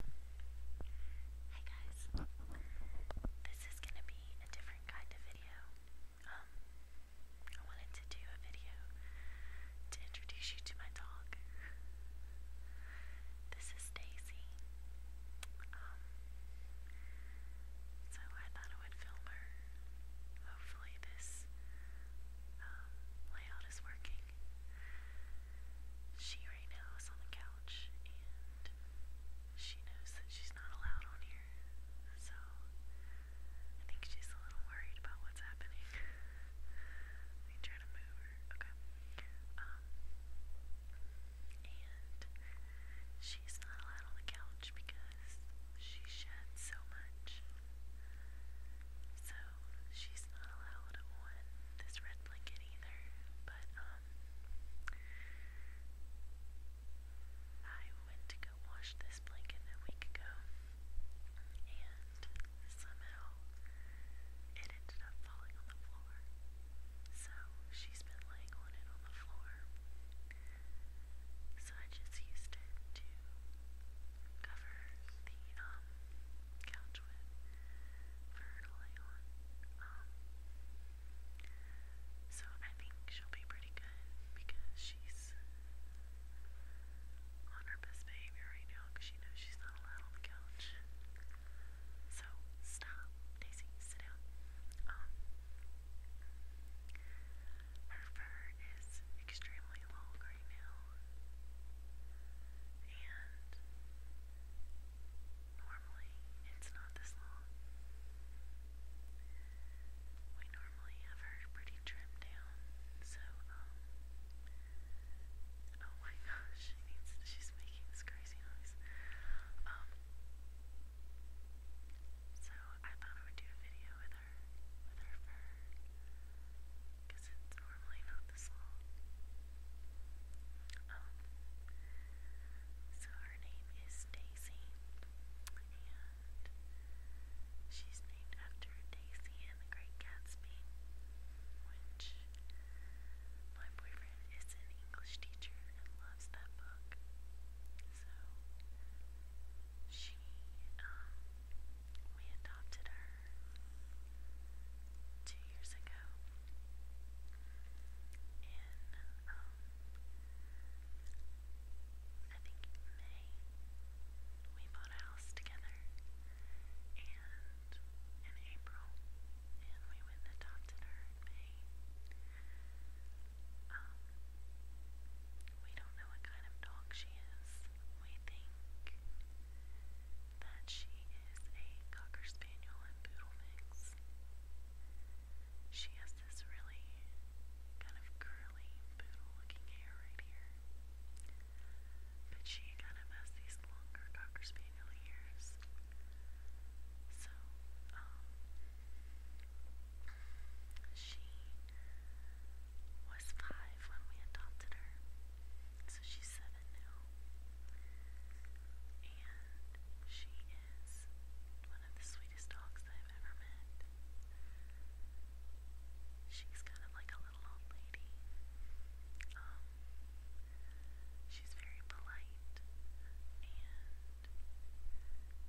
Hey guys, this is gonna be a different kind of video. Um, I wanted to do a video to introduce you to my dog. This is Daisy. Um, so I thought I would film her. Hopefully this um, layout is working she right now is on the couch and she knows that she's not allowed on here. So I think she's a little worried about what's happening. Let me try to move her. Okay. Um, and she's not allowed on the couch because she sheds so much. So she's not allowed on this red blanket either, but um I went to go wash this blanket a week ago and somehow it ended up falling on the floor. So she's been laying on it on the floor. So I just used it to cover the um couch with her to on. Um, so I think she'll be pretty good because she's on her best behavior right now because she knows she's not allowed on the couch. So stop, Daisy, sit down. Um, her fur is extremely long and normally it's not this long. We normally have her pretty trimmed down, so, oh my gosh, she she's making this crazy noise. Um, so I thought I would do a video um, so her name is Daisy, and she's named after Daisy and the Great Gatsby, which my boyfriend is an English teacher and loves that book. So she, um, we adopted her two years ago in, um, I think May. We bought a house together and in April and we adopted her in May. Um, we don't know what kind of dog she is. We think that she is a Cocker Spaniel and Poodle mix. She has this really kind of curly poodle looking hair right here. But she kind of has these longer Cocker Spaniel ears. So, um, she was five when we adopted her, so she's seven now. And she is one of the sweetest dogs I've ever met. She's kind of like a little old lady. Um, she's very polite and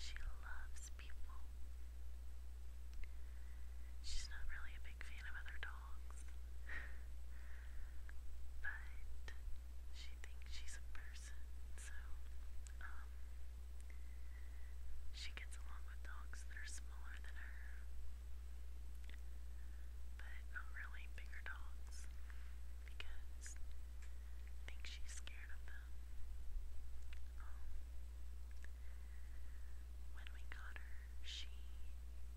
she loves people. She's not really a big fan of other dogs, but she thinks she's a person, so um, she gets along with dogs that are smaller than her, but not really bigger dogs because I think she's scared of them. Um, when we got her, she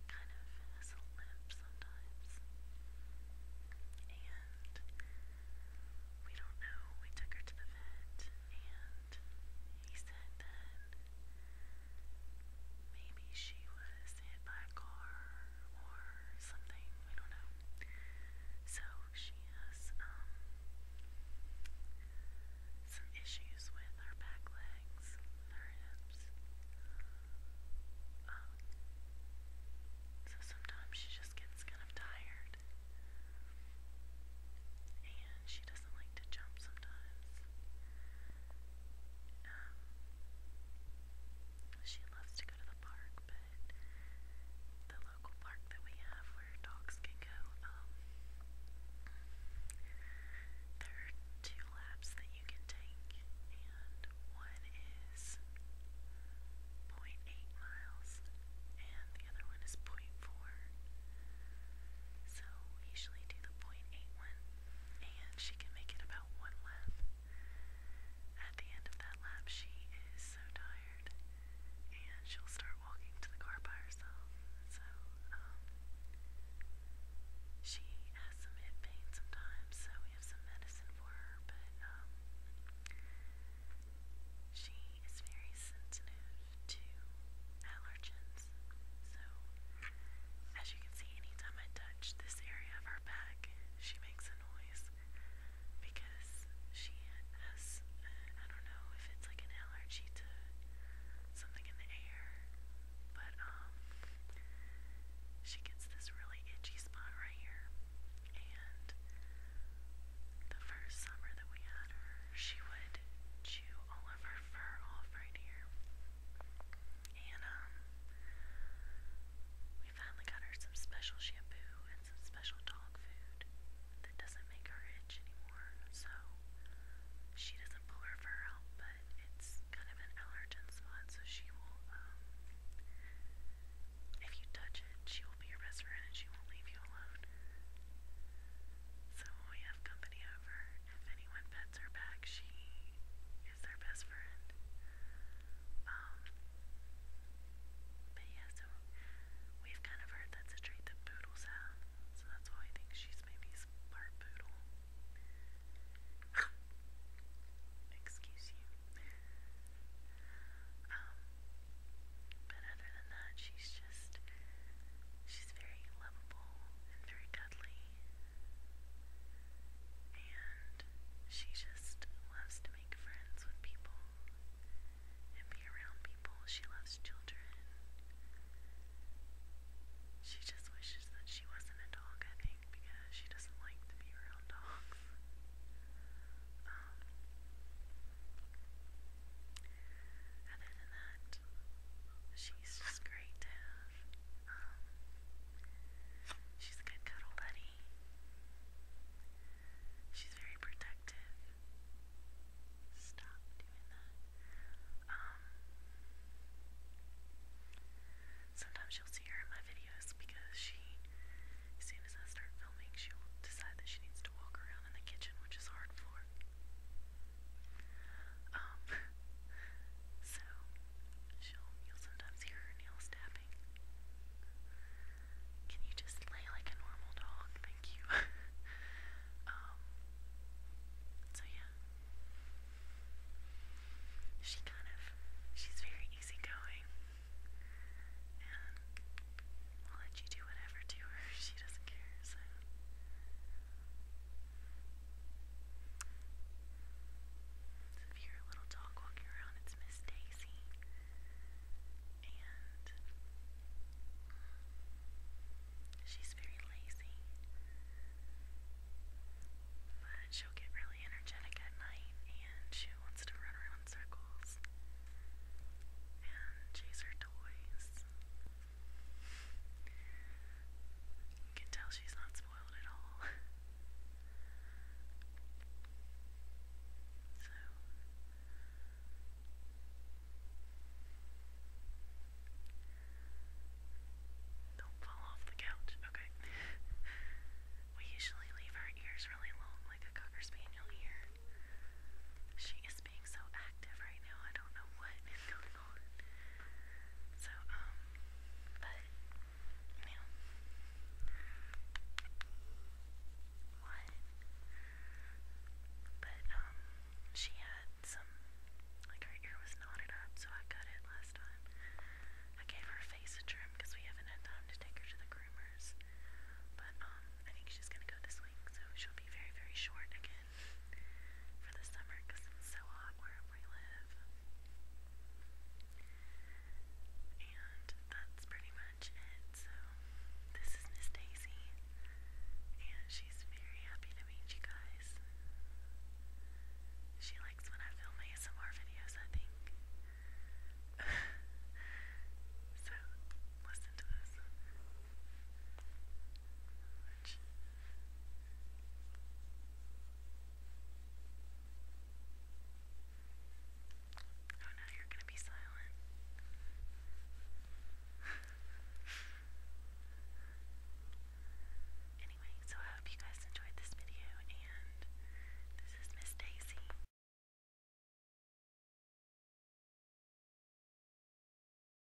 kind of has a limp sometimes. And we don't know. We took her to the vet, and he said that maybe she was hit by a car or something. We don't know. So she has um, some issues with her back legs, her hips. Um, so sometimes she just gets kind of tired. And she doesn't like to jump sometimes. Um, she loves to go to the park, but local park that we have where dogs can go. Um, there are two laps that you can take, and one is 0.8 miles, and the other one is 0.4. So we usually do the 0.8 one, and she can make it about one lap. At the end of that lap, she is so tired and she'll start walking to the car by herself. So, um, she has some hip pain sometimes, so we have some medicine for her, but, um, she is very sensitive to allergens. So, as you can see, anytime I touch this area of her back, she makes a noise because she has, I don't know if it's like an allergy to something in the air, but um, she gets this really itchy spot right here. And the first summer that we had her, she would chew all of her fur off right here. And um, we finally got her some special shampoo and some special dog food that doesn't make her itch anymore, so she doesn't pull her fur out, but it's kind of an allergen spot, so she will, um, if you touch it, she will be your best friend and she won't leave you alone. So we have company over, if anyone pets her back, she is their best friend. Um, but yeah, so we've kind of heard that's a trait that poodles have, so that's why I think she's maybe part poodle. Excuse you. Um, but other than that, she's just, she's very lovable and very cuddly and she just loves to make friends with people and be around people. She loves children. She just wishes that she wasn't a dog, I think, because she doesn't like to be around dogs. Um, other than that, she's just great to have she's a good cuddle buddy. She's very protective. Stop doing that. Um, sometimes you'll see her in my videos because she, as soon as I start filming, she'll decide that she needs to walk around in the kitchen, which is hard for. Um, So she'll you'll sometimes hear her nails tapping. Can you just lay like a normal dog? Thank you. Um, so yeah. She kind of she's very easygoing and will let you do whatever to her. She doesn't care, so if you're a little dog walking around, it's Miss Daisy. And she's very lazy. But she'll get really energetic at night and she wants to run around in circles and chase her toys. You can tell she's not don't fall off the couch, okay. we usually leave our ears really long, like a Cocker Spaniel ear. She is being so active right now, I don't know what is channel. So, um, but, you know, But, um, she had some, like her ear was knotted up, so I cut it last time. I gave her face trim because we haven't had time to take her to the groomers. But, um, I think she's gonna go this week, so she'll be very, very short again in for the summer it's so hot where we live. And that's pretty much it. So, this is Miss Daisy, and she's very happy to meet you guys. She likes when I film ASMR videos, I think. so, listen to this. Oh you anyway, so I hope you guys enjoyed this video, and this is Miss Daisy.